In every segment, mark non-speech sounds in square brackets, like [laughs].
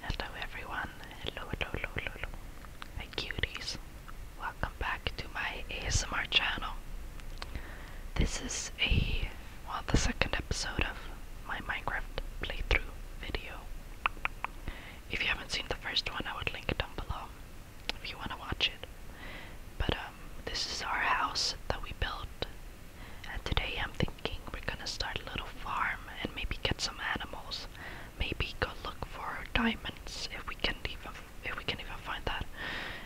Hello everyone, hello, hello, hello, hello, my cuties. Welcome back to my ASMR channel. This is a, well, the second episode of my Minecraft playthrough video. If you haven't seen the first one, I would link it down below if you want to watch it. But um, this is our house that we built, and today I'm thinking we're gonna start a little farm and maybe get some animals. Maybe go look for diamonds if we can even if we can even find that.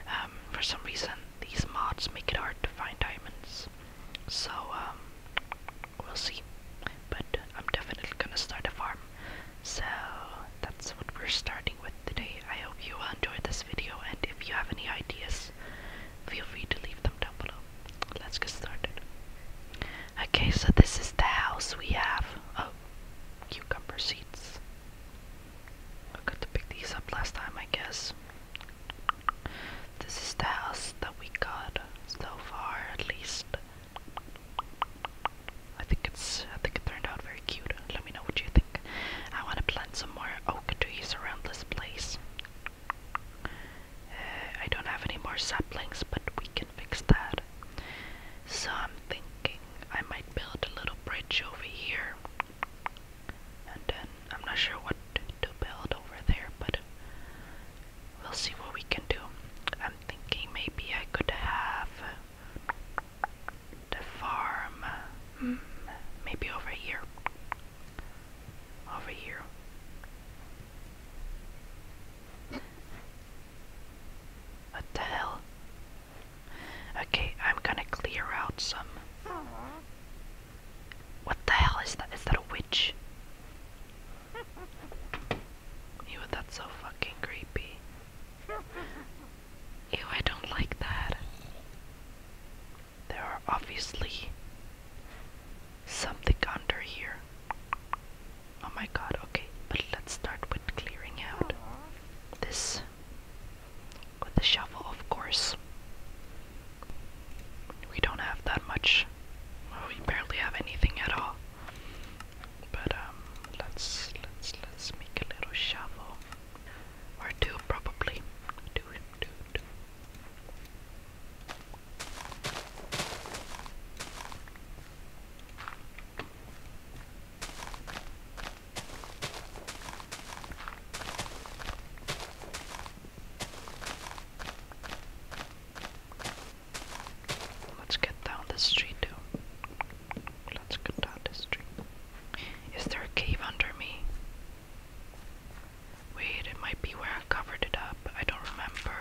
Um, for some reason, these mods make it hard to find diamonds. So um, we'll see. But I'm definitely gonna start a farm. So that's what we're starting with today. I hope you enjoyed this video, and if you have any ideas, feel free to leave them down below. Let's get started. Okay, so this is the house we have. Oh, cucumber seeds. I got to pick these up last time, I guess. This is the house that we got so far, at least. I think it's. I think it turned out very cute. Let me know what you think. I want to plant some more oak trees around this place. Uh, I don't have any more saplings, but we can fix that. So I'm thinking I might build a little bridge over here. And then I'm not sure what to build over there, but we'll see what we can do. I'm thinking maybe I could have the farm hmm, maybe over here over here. What the hell? Okay, I'm gonna clear out some. What the hell is that? Is that a witch? [laughs] Ew, that's so fucking creepy. Ew, I don't like that. There are obviously something under here. Oh my god, okay, but let's start with clearing out this with the shovel, of course. We don't have that much. we barely have anything at all. But um let's let's let's make a little shovel. Or two probably. Two, two, two. Let's get down the street Let's get down the street. Is there a cave under me? Wait, it might be where I covered it up. I don't remember.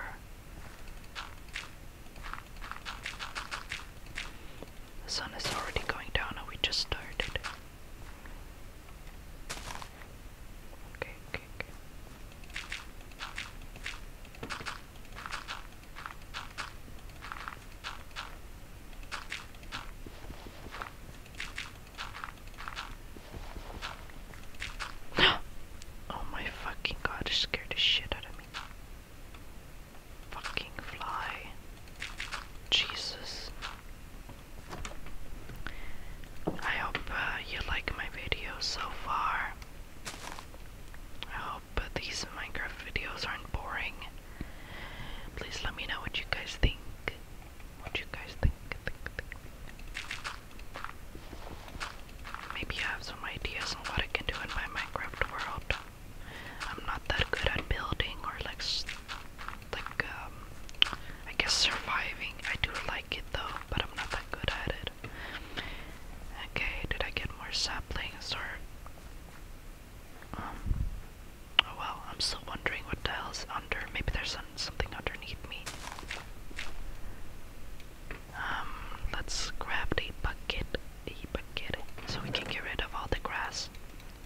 The sun is already going down and we just started. Okay, okay, okay oh my fucking god, it scared the shit out of me. Fucking fly. Jesus. I hope uh, you like my videos so far. I hope uh, these Minecraft videos aren't boring. Please let me know what you guys think. What you guys think. Maybe you have some ideas on what I can do in my Minecraft world. I'm not that good at building or like, like um, I guess surviving. I do like it though, but I'm not that good at it. Okay, did I get more saplings or? Um, oh well, I'm still wondering what the hell's under. Maybe there's something underneath me. Um, let's grab the bucket, the bucket, so we can get rid of all the grass.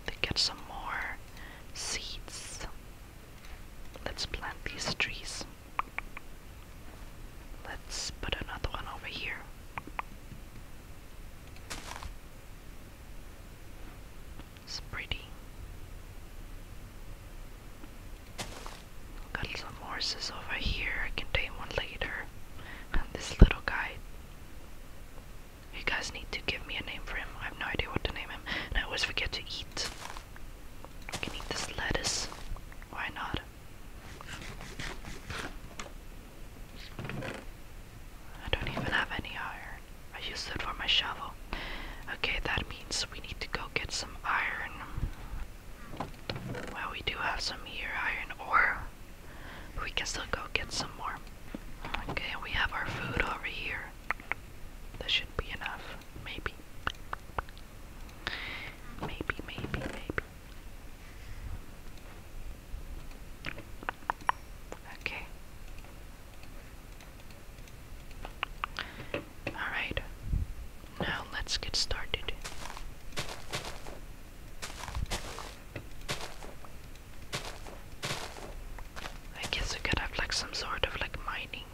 To get some more seeds. Let's plant these trees. Let's put another one over here. It's pretty. Got some horses over here. I can tame one later. And [laughs] this little guy. You guys need to give me a name for him. I have no idea what to name him. And I always forget to eat. I can eat this lettuce. Why not? I don't even have any iron. I used it for my shovel. Okay, that we need to go get some iron. Well, we do have some here, iron ore. we can still go get some more. Okay, we have our food over here. That should be enough. Maybe. Maybe, maybe, maybe. Okay. Alright, now let's get started. I guess we could have like some sort of like mining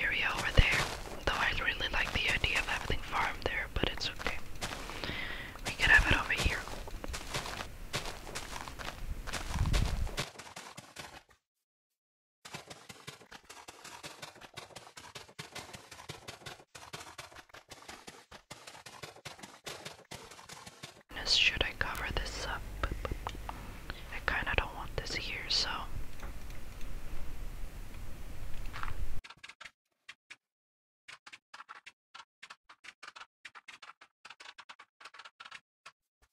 area over there. Though I really like the idea of having farm there, but it's okay. We could have it over here. Should I cover this up? I kinda don't want this here, so.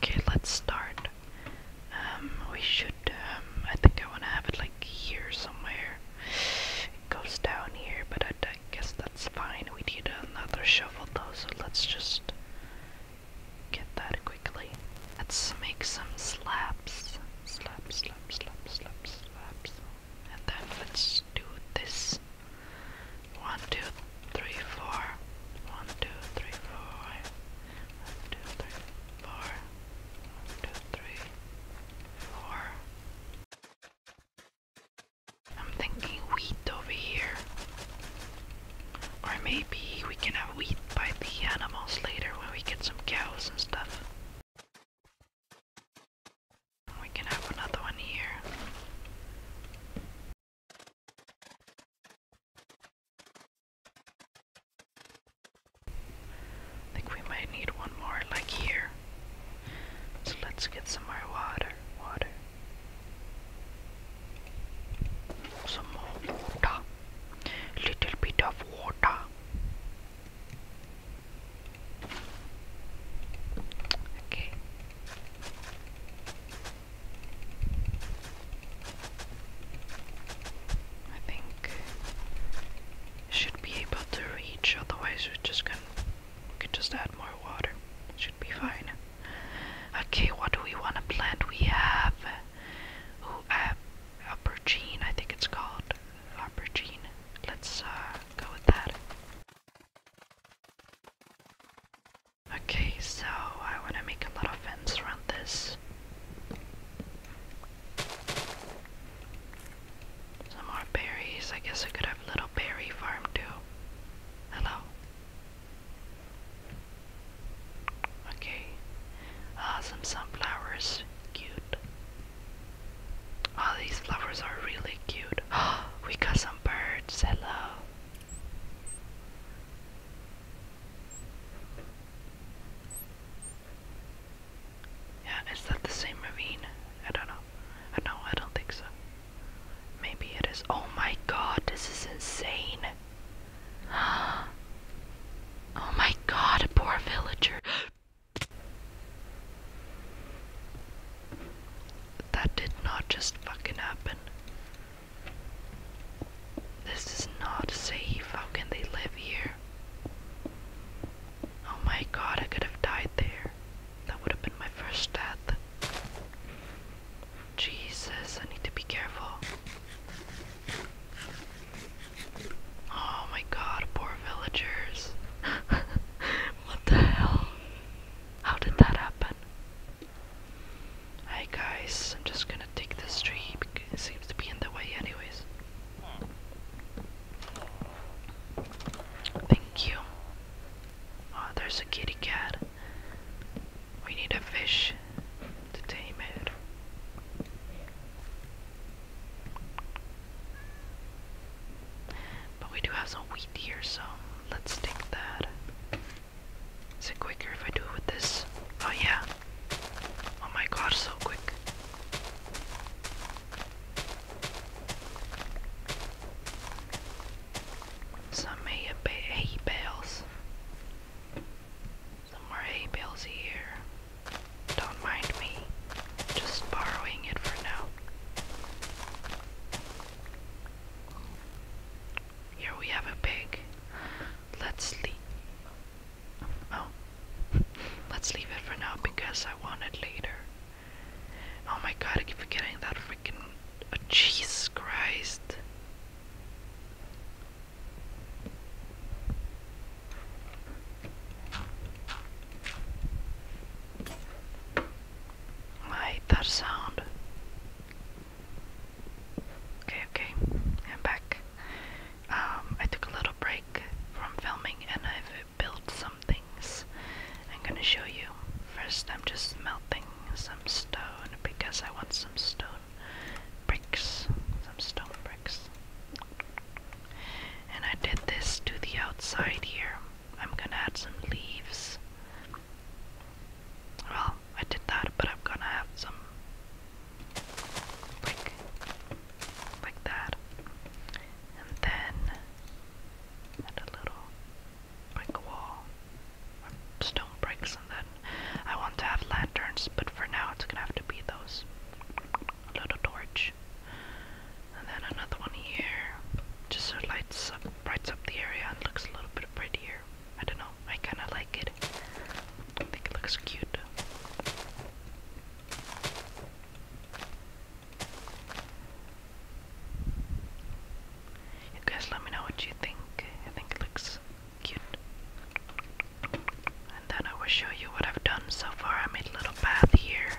Okay, let's start. Um, we should, um, I think I want to have it like here somewhere. It goes down here, but I guess that that's fine. We need another shovel though, so let's just get that quickly. Let's make some slaps. Slab, slab, slab, slab, slabs. And then let's do this. One, two, three, four. One, two, three, four. One, two, three, four. One, two, three, four. I'm thinking wheat over here. Or maybe we can have wheat by the animals later when we get some cows and stuff. We can have another one here. I think we might need one more like here. So let's get some more water. Water. Some more water. Little bit of water. Okay. I think should be able to reach, otherwise we're just gonna we can just add more water. Should be fine. Okay, what do we want to plant? We have oh, uh, aubergine, I think it's called. Aubergine. Let's uh, go with that. Okay, so I want to make a little fence around this. Some more berries. I guess I could have a little berry farm too. Hello. Okay. Awesome sunflowers. Cute. All these flowers are really cute. [gasps] we got some birds. Hello. Yeah, is that the same ravine? I don't know. No, I don't think so. Maybe it is. Oh my god, this is insane. [gasps] Oh my god, poor villager. [gasps] That did not just fucking happen. This is not safe. How can they live here? Oh my god, I could have died there. That would have been my first death. Jesus, I need to be careful. Oh my god, poor villagers. [laughs] what the hell? How did that happen? Hi guys, I'm just gonna take this tree it seems to be in the way anyways. Thank you. Oh, there's a kitty cat. We need a fish to tame it. But we do have some wheat here, so let's take that. Is it quicker if I do it with this? Oh, yeah. Oh my god, so quick. Some hay, hay bales. Some more hay bales here. Don't mind me. Just borrowing it for now. Here we have a pig. Let's leave. Oh, [laughs] let's leave it for now because I want it later. Oh my god, I keep forgetting that freaking. Oh, Jesus Christ. I that sound. Okay, okay, I'm back. Um, I took a little break from filming and I've build some things. I'm gonna show you. First, I'm just melting some stone because I want some stone bricks. Some stone bricks. And I did this to the outside here. I'm gonna add some leaves. Well, I did that, but I'm gonna have some like like that. And then add a little brick wall stone bricks and then I want to have lanterns but for now it's gonna have to be those. little torch. And then another one here. Just so it lights up brights up the area and looks a little bit prettier. I don't know, I kinda like it. I think it looks cute. You guys let me know what you think. I think it looks cute. And then I will show you what I've done so far. I made a little path here.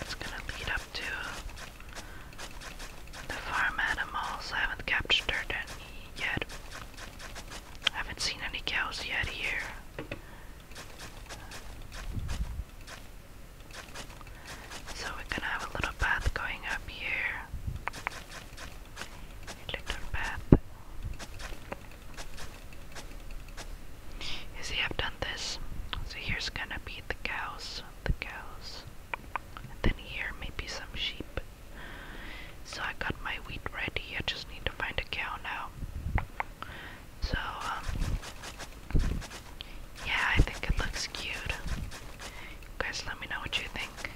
It's gonna lead up to the farm animals. haven't captured any yet. I haven't seen any cows yet here. So we're gonna have a little path going up here. little path. You see, I've done this. So here's gonna be the cows, the cows. then here, maybe some sheep. So I got my wheat ready. I just need to find a cow now. So, um, yeah, I think it looks cute. guys let me know what you think.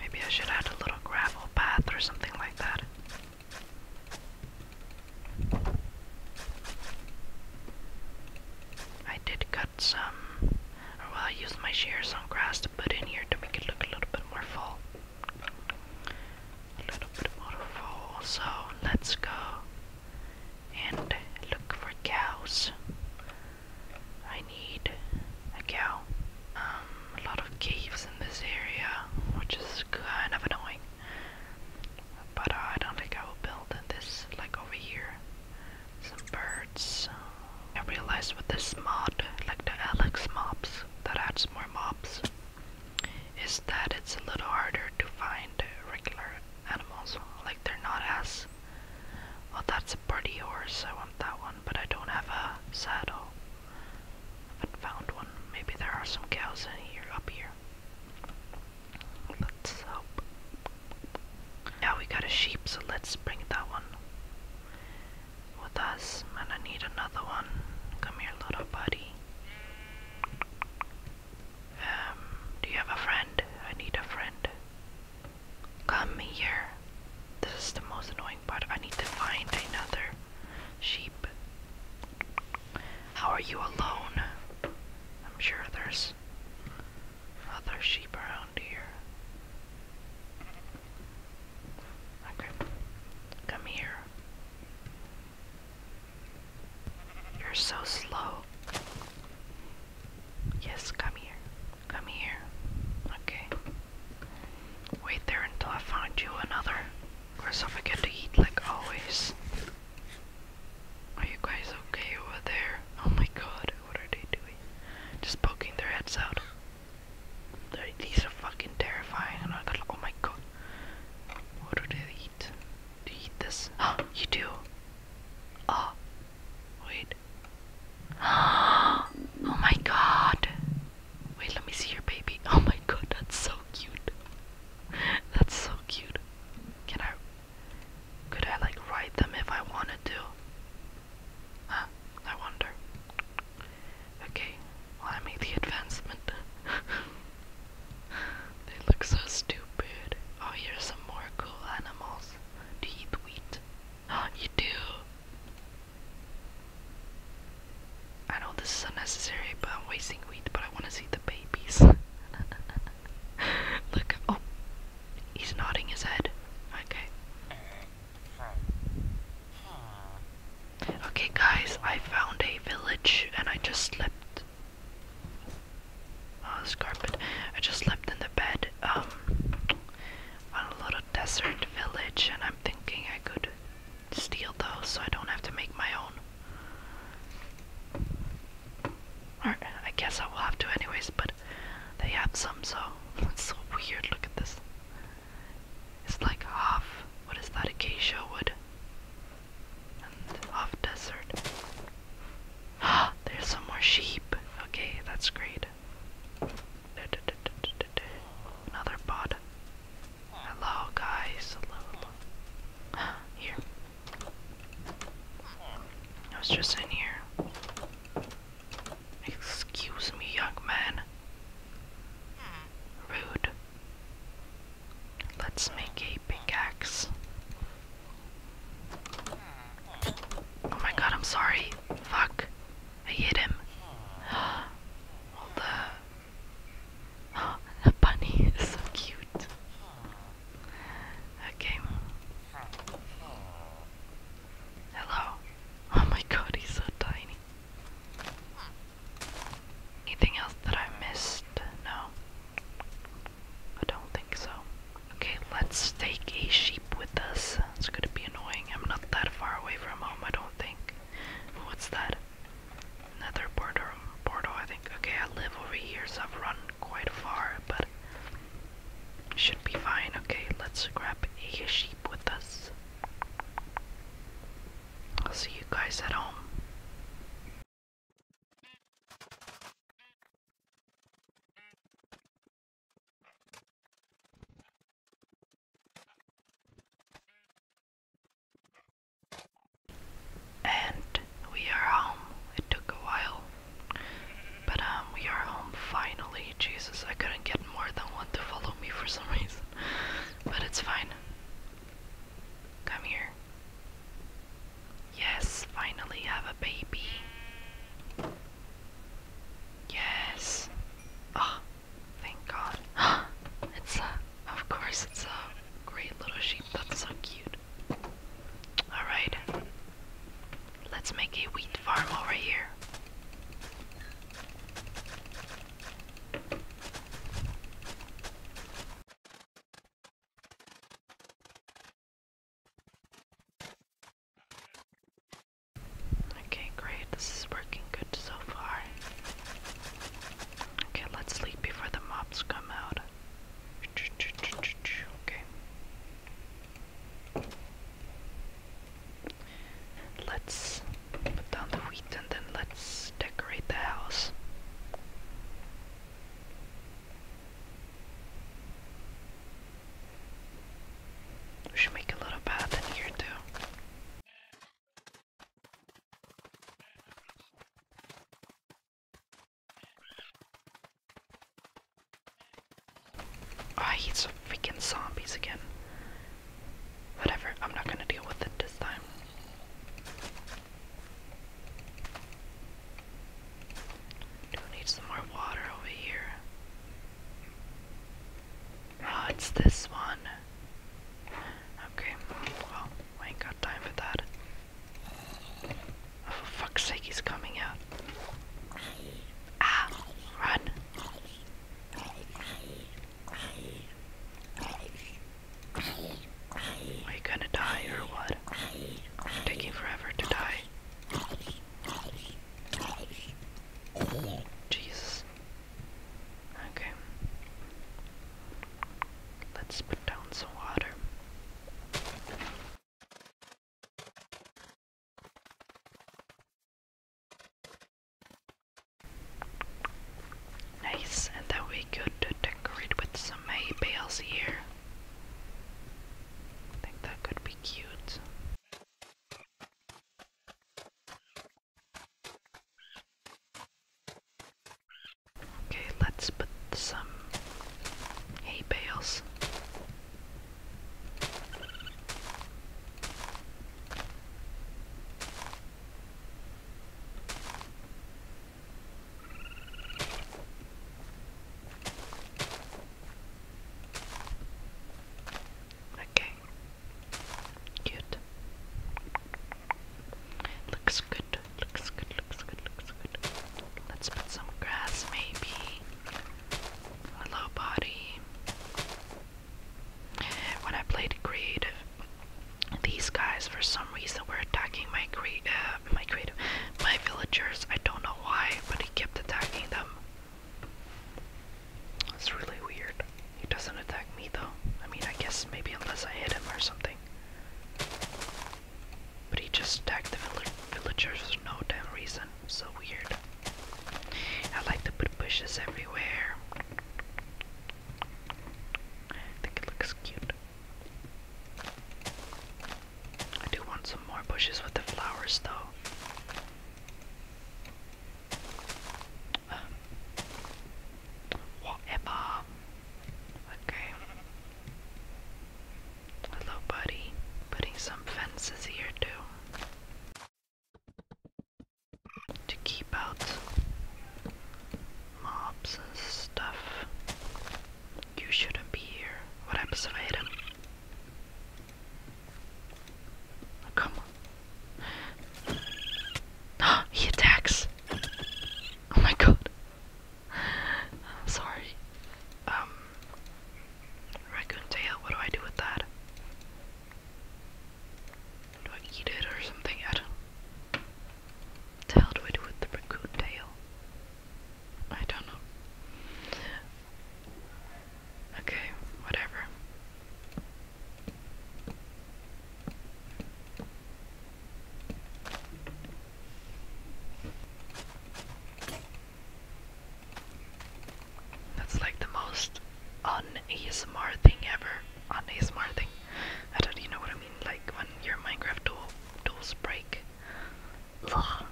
Maybe I should add a little gravel path or something like that. I did cut some, well, I used my shears on grass to put in here to make it look a little bit more full. A little bit more full, so let's go and look for cows. I need a cow. Um, a lot of caves in this area, which is kind of annoying. But I don't think I will build this, like over here. Some birds. I realized with this mod, like the Alex mobs, that adds more mobs is that it's a little harder to find regular animals. Like they're not as. Well, that's a pretty horse. I want that one, but I don't have a saddle. I haven't found one. Maybe there are some cows in here, up here. Let's hope. Now we got a sheep, so let's bring that one with us. And I need another one. Come here, little buddy. Um, do you have a friend? I need a friend. Come here. This is the most annoying part. I need to find another sheep. How are you alone? I'm sure there's other sheep around here. Come here. You're so slow. Yes, come here. Come here. Okay. Wait there until I find you another. Of course, I forget to eat like always. Are you guys okay over there? Oh my god, what are they doing? Just poking their heads out. These are fucking terrifying. oh my god. What do they eat? Do eat this? Oh, [gasps] you do. Oh, wait. [gasps] Oh my god. Wait, let me see your baby. [laughs] Oh my god, that's so cute. [laughs] That's so cute. Can I. Could I, like, ride them if I wanted to? Huh, I wonder. Okay, I made the advancement. [laughs] They look so stupid. Oh, here's some more cool animals. Do you eat wheat? Oh, [gasps] you do. I know this is unnecessary, but I'm wasting wheat, but I want to see the babies. [laughs] Look, oh, he's nodding his head. Okay. Okay, guys, I found a village and I just slept Oh, this carpet. I just slept in the bed um, on a little desert village, and I'm thinking I could steal those so I don't have to make my own. Or I guess I will have to anyways, but they have some, so [laughs] it's so weird. Look at this. It's like half. What is that acacia wood? off desert. [gasps] There's some more sheep. Okay, that's great. Another pod. Hello, guys. Hello, hello. [gasps] Here. I was just in here. Excuse me, young man. Rude. Let's make a pickaxe. Oh my god, I'm sorry. Fuck. I hit him. [gasps] [gasps] the... bunny is so cute. Okay. Hello. Oh my god, he's so tiny. Anything else that I missed? No. I don't think so. Okay, let's take a sheep with us. It's gonna be annoying. I'm not that far away from home, I don't think. What's that? Another border portal, I think. Okay, I live over here, so I've run quite far, but should be fine. Okay, let's grab a sheep with us. I'll see you guys at home. And we are home. It took a while. But um we are home finally. Jesus, I couldn't get more than one to follow me for some reason. But it's fine. Come here. Yes, finally have a baby. Yes. Oh, thank God. [gasps] It's a, of course, it's a great little sheep. That's so cute. Alright. Let's make a wheat farm over here. Okay, great. This is working good so far. Okay, let's sleep before the mobs come out. Okay. Let's put down the wheat and then let's decorate the house. We should make a little path in here too. Oh, I hate some freaking zombies again. Whatever, I'm not gonna deal with it this time. Do need more water over here. Oh, it's this one. Okay, well, I ain't got time for that. Oh, for fuck's sake, he's coming out. Ah, run. Are you gonna die or what? taking forever to die. Jesus. Okay. Let's put down some water. Nice, and then we could decorate with some hay bales here. I think that could be cute. Okay, let's put some hay bales. Okay. Cute. Looks good. Looks good. Looks good. Looks good. Let's put some grass maybe. Hello body. When I played creative these guys, for some reason, were attacking uh, my creative, my villagers. I don't know why, but he kept attacking them. That's really weird. He doesn't attack me though. I mean, I guess maybe unless I hit him or something. But he just attacked the villagers for no damn reason. So weird. I like to put bushes everywhere. I think it looks cute. I do want some more bushes with the flowers, though. Um, whatever. Okay. Hello, buddy. Putting some fences here, too. To keep out Mobs and stuff. You shouldn't be here. What happens if I come on. [gasps] he attacks! Oh my god. sorry. Um. Raccoon what do I do with that? Do I eat it or something? I tailed with, with the raccoon tail. I don't know. Okay, whatever. That's like the most un-ASMR thing ever. Un-ASMR thing. I don't you know what I mean, like when your Minecraft tool tools break. Ugh.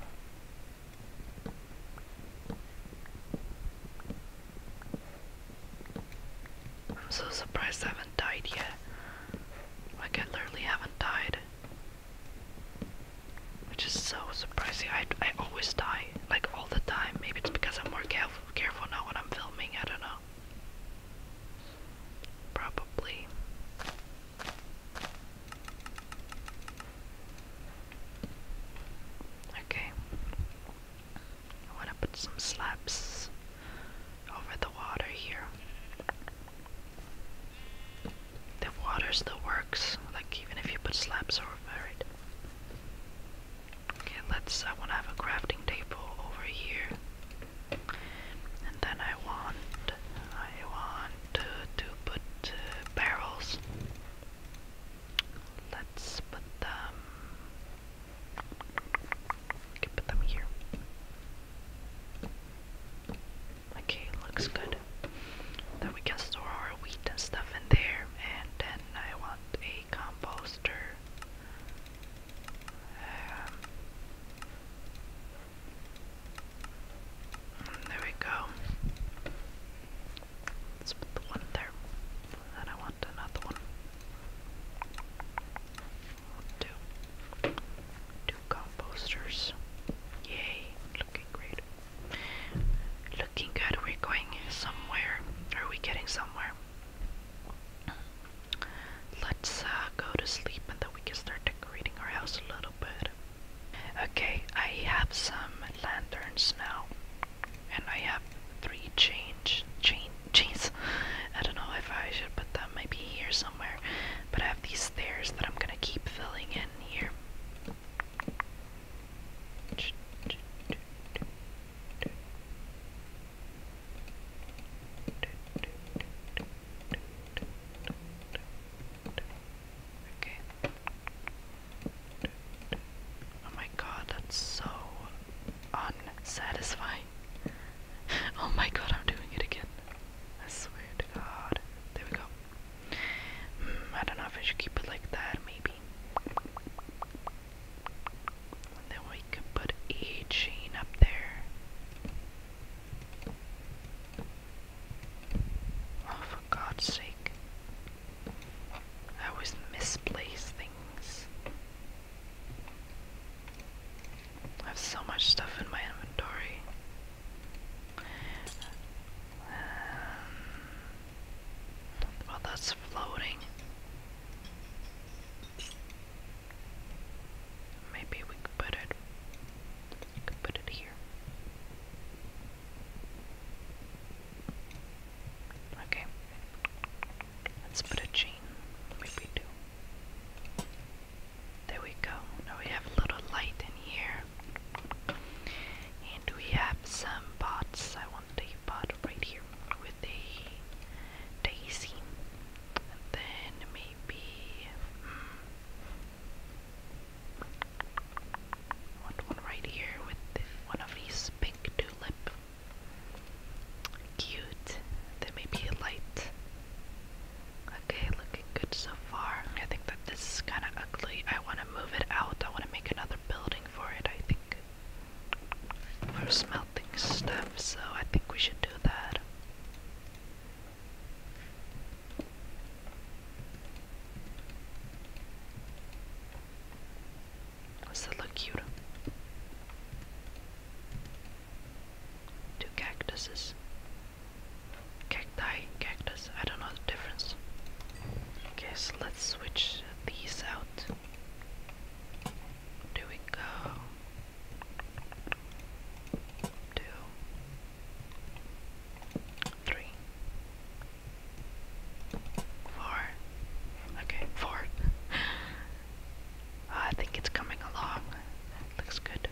I'm so surprised I haven't died yet. Like I literally haven't died. Which is so surprising. I, I always die, like all the time. Maybe it's because I'm more caref careful now when I'm filming, I don't know. Probably. Okay. I want to put some slabs over the water here. The water still works, like even if you put slabs over it. Okay, let's. I want to have a crafting table over here. And then I want, I want to put uh, barrels. Let's put them. can put them here. Okay, looks good. Then we can store our wheat and stuff in there. And then I want a composter. Um, there we go. put the one there. And I want another one. Two. Two composters. Yay. Looking great. Looking good. We're going somewhere. Are we getting somewhere? Let's uh, go to sleep and then we can start decorating our house a little bit. Okay, I have some lanterns now, and I have three change change, chains. I don't know if I should put them maybe here somewhere, but I have these stairs that I'm gonna keep filling in here. Oh my god, that's so unsatisfying. [laughs] Oh my god, I'm doing it again. I swear to god. There we go. Mm, I don't know if I should keep it like that, maybe. And then put E chain up there. Oh, for God's sake. I always misplace things. I have so much stuff in my inventory. Um, well, that's floating. Maybe we could put it we could put it here. Okay. Let's put a chain. Maybe two. There we go. Now we have a little light in here. And we have some pots. I want the pot right here with the daisy. And then maybe hmm, one, right here with one of these pink tulip. Cute. Then maybe a light. Okay, looking good so far. I think that this is kind of ugly. I want to move it out. I want to make another building for it, I think. For smelting stuff, so I think we should do that bad. Does that look cute? Two cactuses. Cacti, cactus, I don't know the difference. Okay, so let's switch these out. There we go two, three, four. Okay, four. [laughs] I think it's coming along. Looks good.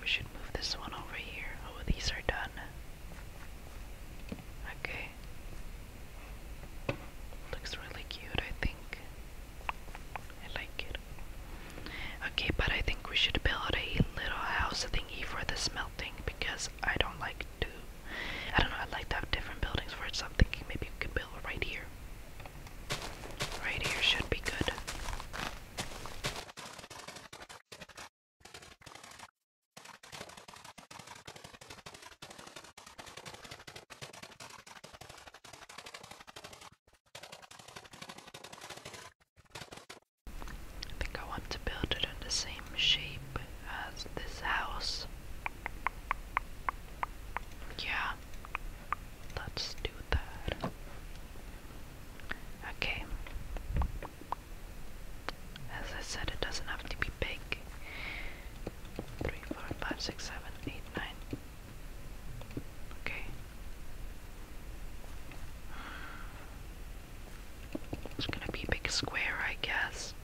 We should move this one over here. Oh, these are done. Okay. Looks really cute, I think. I like it. Okay, but I think we should build a little house thingy for the smelting because I don't like to. I don't know, I like to have different buildings for it, so I'm thinking maybe we can build right here. Right here should be good. I think I want to build it in the same shape as this house. Yeah, let's do that. Okay. As I said, it doesn't have to be big three, four, five, six, seven, eight, nine. Okay. It's gonna be a big square, I guess.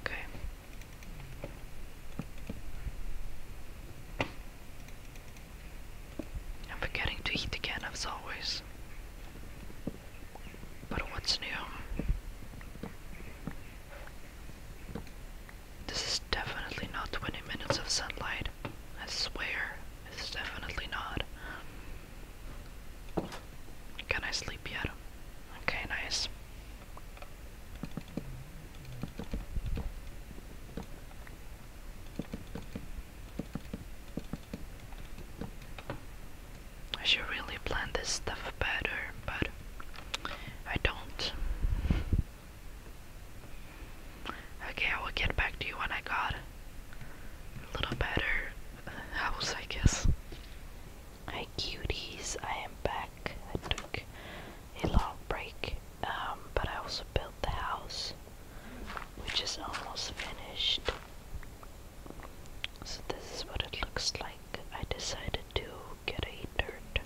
Okay. I'm forgetting to eat again as always. But what's new? This is definitely not 20 minutes of sunlight. I swear, it's definitely not. Can I sleep yet? Okay, nice. I should really plan this stuff better, but I don't. Okay, I will get back to you when I got a little better house, I guess. Hi, cuties. I am back. I took a long break, um, but I also built the house, which is almost finished. So this is what it looks like. I decided to get a dirt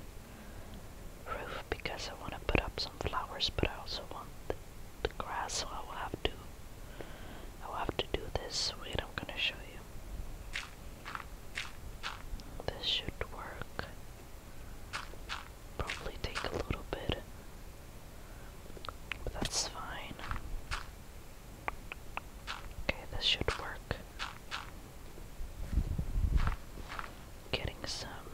roof because I want to put up some flowers, but I also want the, grass, so I will have to, I will have to do this. Wait, I'm gonna show you. This should work. Probably take a little bit, but that's fine. Okay, this should work. Getting some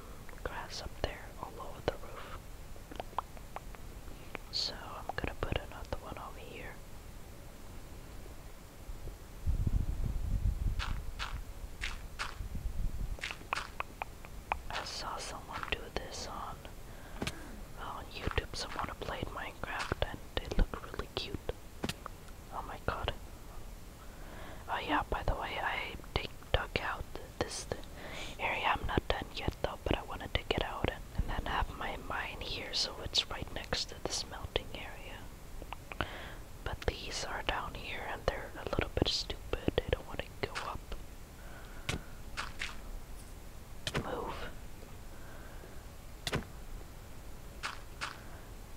grass up there all over the roof. So I'm gonna put another one over here. I saw someone do this on on YouTube. Someone played Minecraft and it looked really cute. Oh my god. Oh yeah, by the way, I dig dug out this area. I'm not done yet though, but I wanted to get out and, and then have my mine here, so it's right next to this melting area. But these are down here, and they're a little bit stupid. They don't want to go up. Move.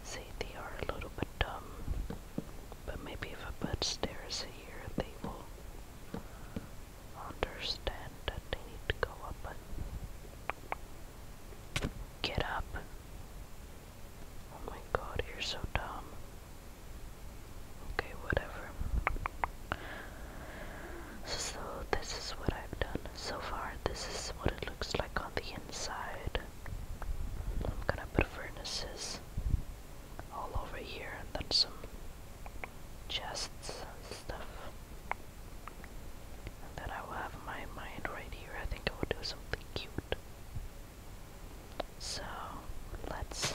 See, they are a little bit dumb, but maybe if I put stairs here, they will understand that they need to go up get up. Oh my god, you're so dumb. Okay, whatever. So, this is what I've done so far. This is what it looks like on the inside. I'm gonna put furnaces all over here and then some chests and stuff. And then I will have my mind right here. I think I will do something cute. So let's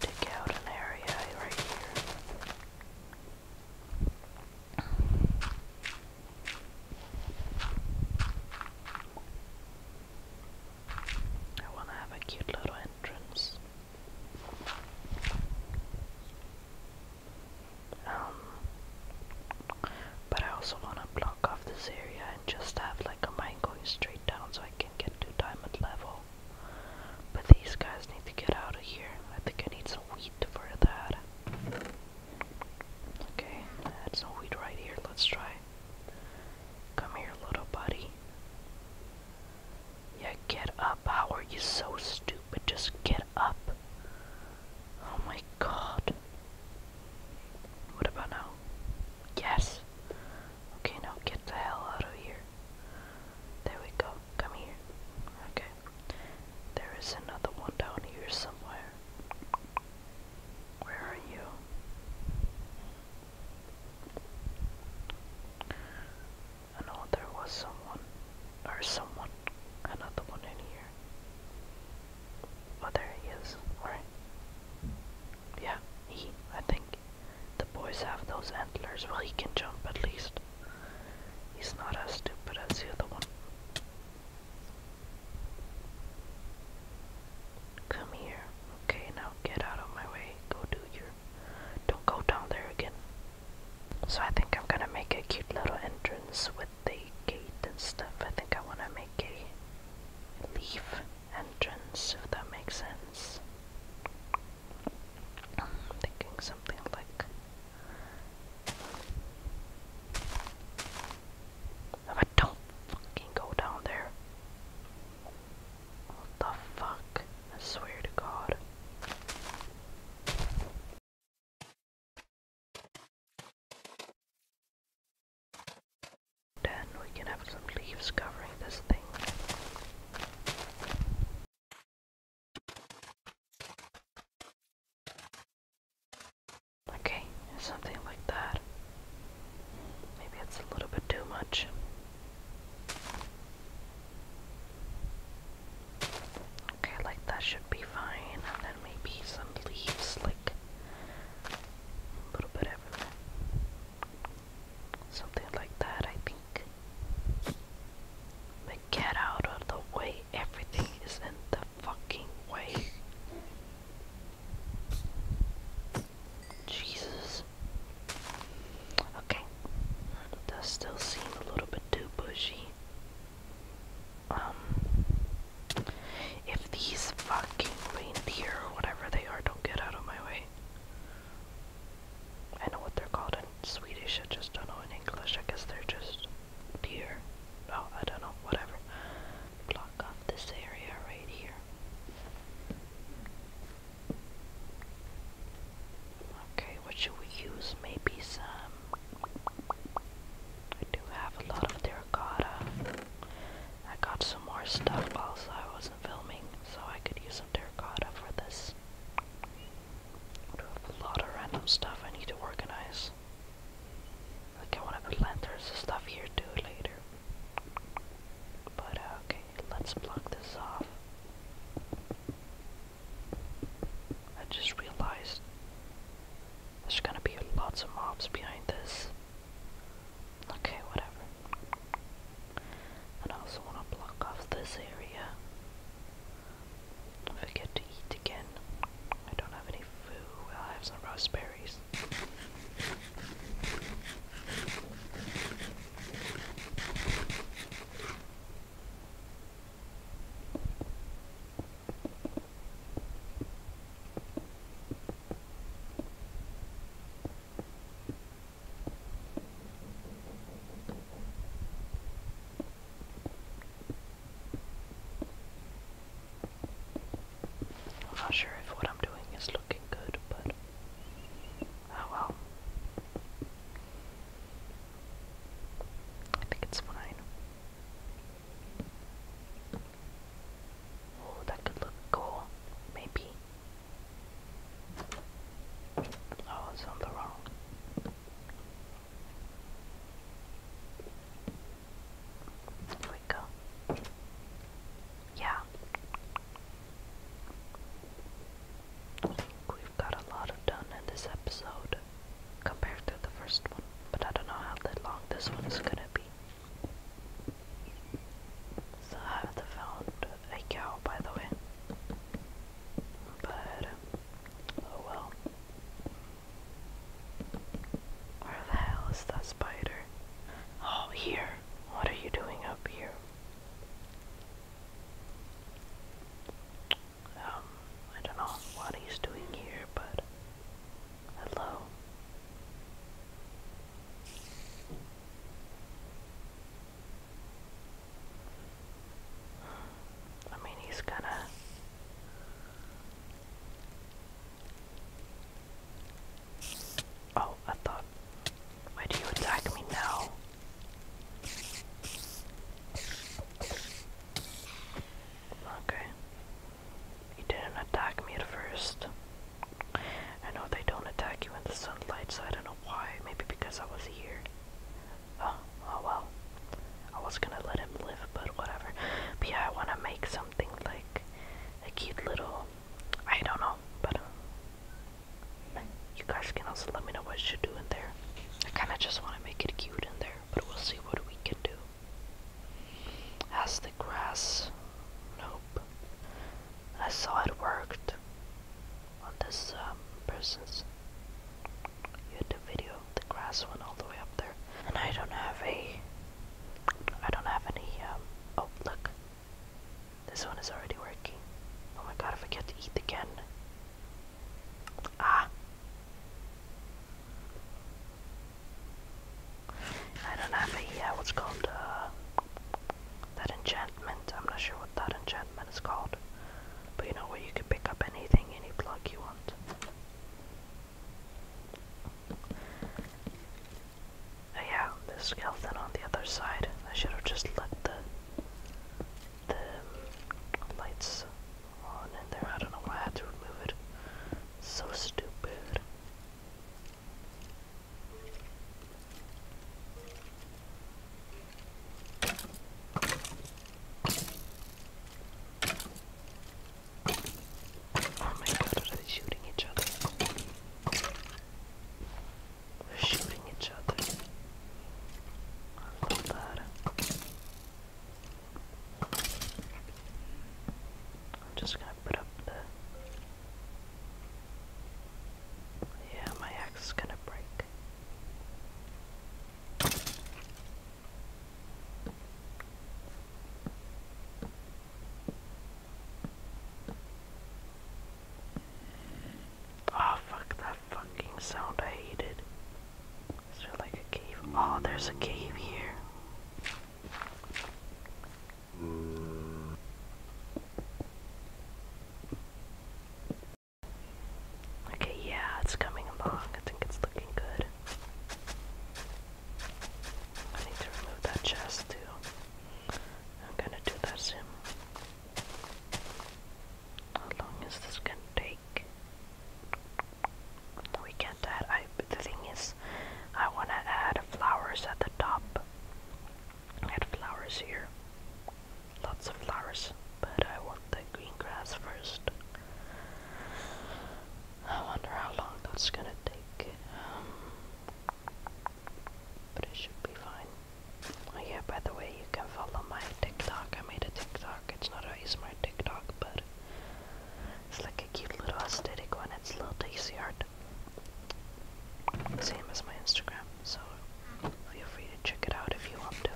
dig out an area right here. I want to have a cute little entrance. Um, but I also want to block off this area and just have like a mine going straight down so I can get to diamond level. But these guys need to get out of here. I think I need some wheat for that. Okay, that's no weed right here. Let's try. Come here, little buddy. Yeah, get up. How are you so stupid? Just get up. Oh my god. What about now? Yes. Okay, now get the hell out of here. There we go. Come here. Okay. There is another one down here somewhere. Where are you? I know there was someone, or someone, another one in here. Oh, there he is, right? Yeah, he, I think. The boys have those antlers, well, he can jump at least. He's not as stupid as the other one. Come here. Okay, now get out of my way. Go do your. Don't go down there again. So I think I'm gonna make a cute little entrance with the gate and stuff. I think I wanna make a leaf entrance, if that makes sense. I'm thinking something like I don't fucking go down there. What the fuck? I swear to God. Then we can have some leaves covering this thing. Okay, something like that. Maybe it's a little bit too much. Okay, like that should be fine. And then maybe some leaves, like a little bit everywhere. Something like that, I think. But get out of the way. Everything is in the fucking way. Jesus. Okay. That still seem a little bit too bushy. Um, if these fucking reindeer or whatever they are don't get out of my way. I know what they're called in Swedish, I just don't know in English. I guess they're just deer. No, oh, I don't know, whatever block off this area right here. Okay, what should we use? Maybe some. I do have a lot of terracotta. I got some more stuff also I wasn't filming, so I could use some terracotta for this. a lot of random stuff I need to organize. Like I wanna put lanterns and stuff here too later. But uh, okay, let's block this off. I just realized there's gonna be lots of mobs behind this. Okay, whatever. And I also wanna block off this area. If eat again. I don't have any food. I have some raspberries. I'm not sure if what I'm doing is looking good, but oh well. I think it's fine. Oh, that could look cool, maybe. Oh, it's wrong. There we go. Yeah. we've got a lot of done in this episode compared to the first one, but I don't know how long this one is gonna be. So I have found a cow, by the way. But, oh well. Where the hell is that spider? Oh, here. What are you doing up here? Um, I don't know what he's doing here, but hello. I mean, he's gonna Oh, I thought. Why do you attack me now? Okay. You didn't attack me at first. I know they don't attack you in the sunlight, so I don't know why. Maybe because I was here. Oh, oh well. I was gonna let him live, but whatever. yeah, I wanna make some something like a cute little I don't know, but um, you guys can also let me know what should do in there. I kinda just wanna make it cute in there, but we'll see what we can do. As the grass nope. I saw it worked on this um, person's YouTube video. The grass went all the way up there. And I don't have a. I don't have any. Um, oh, look. This one is already working. Oh my god, I get to eat again. Ah! I don't have a. Uh, what's called? Uh, that enchantment. I'm not sure what that enchantment is called. But you know where you can pick up anything, any plug you want. Oh, yeah, the skeleton on the other side. I should have just let the the um, lights on in there. I don't know why I had to remove it. So stupid. Oh my god, are shooting each other? They're shooting each other. I'm just gonna put up the. Yeah, my axe is gonna break. Oh fuck that fucking sound I hated. Is there like a cave? Oh, there's a cave here. Okay, yeah, it's coming along. I think it's looking good. I need to remove that chest too. I'm gonna do that soon. How long is this gonna take? We can't add. I, the thing is, I wanna add flowers at the top. Add flowers here. Lots of flowers, but I want the green grass first. I wonder how long that's gonna take. Um, but it should be fine. Oh yeah, by the way, you can follow my TikTok. I made a TikTok. It's not a smart TikTok, but it's like a cute little aesthetic one. It's a little daisy art. Same as my Instagram, so feel free to check it out if you want to.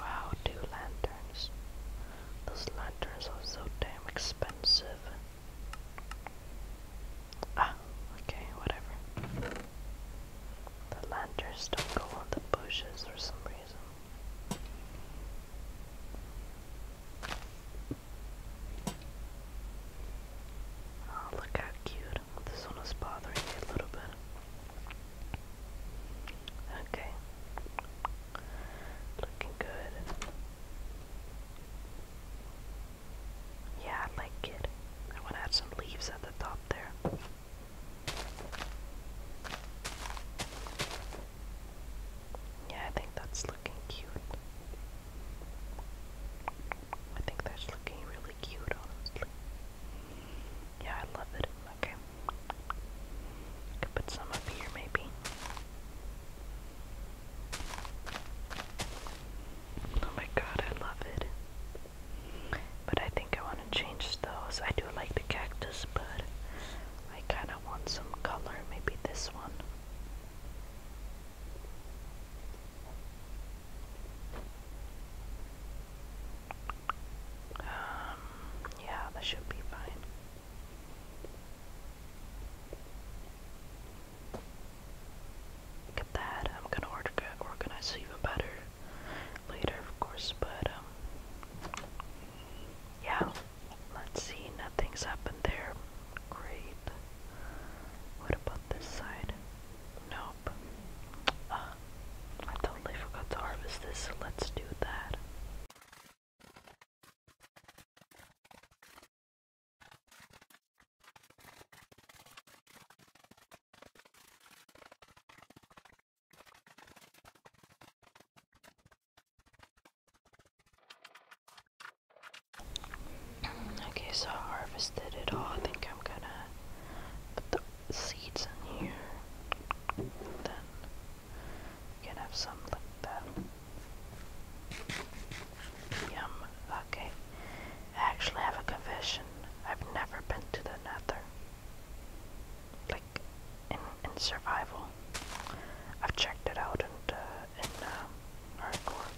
Wow, two lanterns. Those lanterns are so damn expensive. Ah, okay, whatever. The lanterns don't go on the bushes for some reason. Oh, look how cute this one is bothering me a little bit. Okay. Looking good. Yeah, I like it. I want to add some leaves at the top there. Yeah, I think that's looking cute. I think that's looking really really cute, honestly. Yeah, I love it. Okay. I could put some up here, maybe. Oh my god, I love it. But I think I want to change those. I do like the cactus, but I kind of want some color. Maybe this one. Um, yeah, that should be fine. Look at that. I'm gonna organize even better later, of course, but, um, yeah. Let's see, nothing's happened there. Great. What about this side? Nope. Uh, I totally forgot to harvest this, so let's do that. Okay, so I harvested it all. I think I'm gonna put the seeds in here. then we can have some like that. Yum. Okay. I actually have a confession. I've never been to the nether. Like, in, in survival. I've checked it out and, uh, in, uh, um, hardcore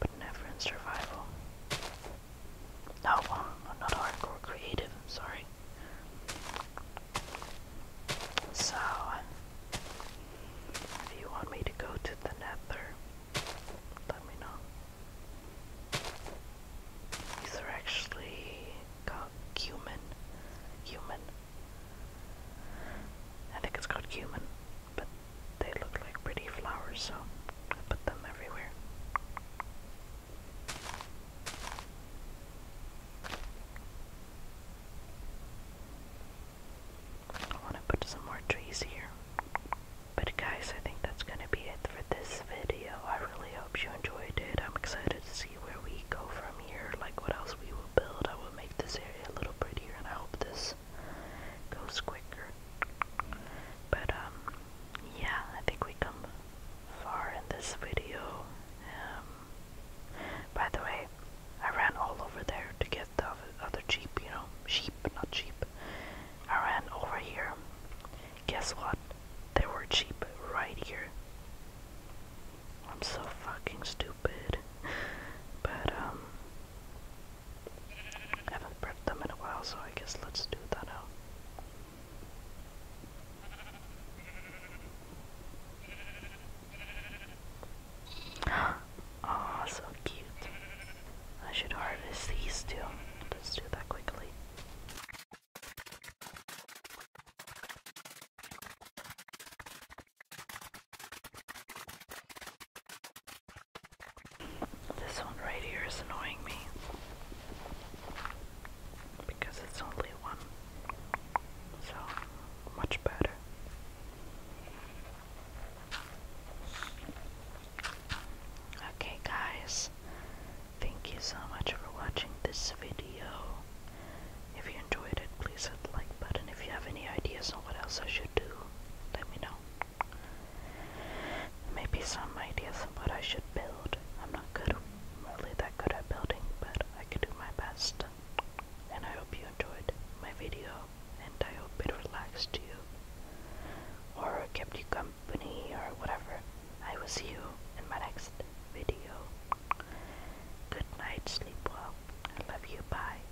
but never survival. No, I'm not hardcore creative, sorry. So, if you want me to go to the nether, let me know. These are actually called cumin. Cumin. I think it's called cumin but they look like pretty flowers, so I put them everywhere. I want to put some more trees here. But guys, I think that's going to be it for this video. I really hope you enjoyed it. I'm excited to see where we go from here, like what else we will build. I will make this area a little prettier and I hope this goes quicker. But um, yeah, I think we come far in this video. Um, by the way, I ran all over there to get the other cheap, you know, sheep, not sheep. I ran over here. Guess what? There were sheep right here. I'm so fucking stupid. [laughs] But um I haven't bred them in a while, so I guess let's do that now. [gasps] Aw, so cute. I should harvest these two. Let's do that quickly. This one right here is annoying me because it's only one, so much better. Okay, guys, thank you so much for watching this video. If you enjoyed it, please hit the like button. If you have any ideas on what else I should do, let me know. Maybe some ideas of what I should build. I'm not good, really that good at building, but I can do my best. And I hope you enjoyed my video, and I hope it relaxed you, or kept you company, or whatever. I will see you in my next video. Good night, sleep well. I love you, bye.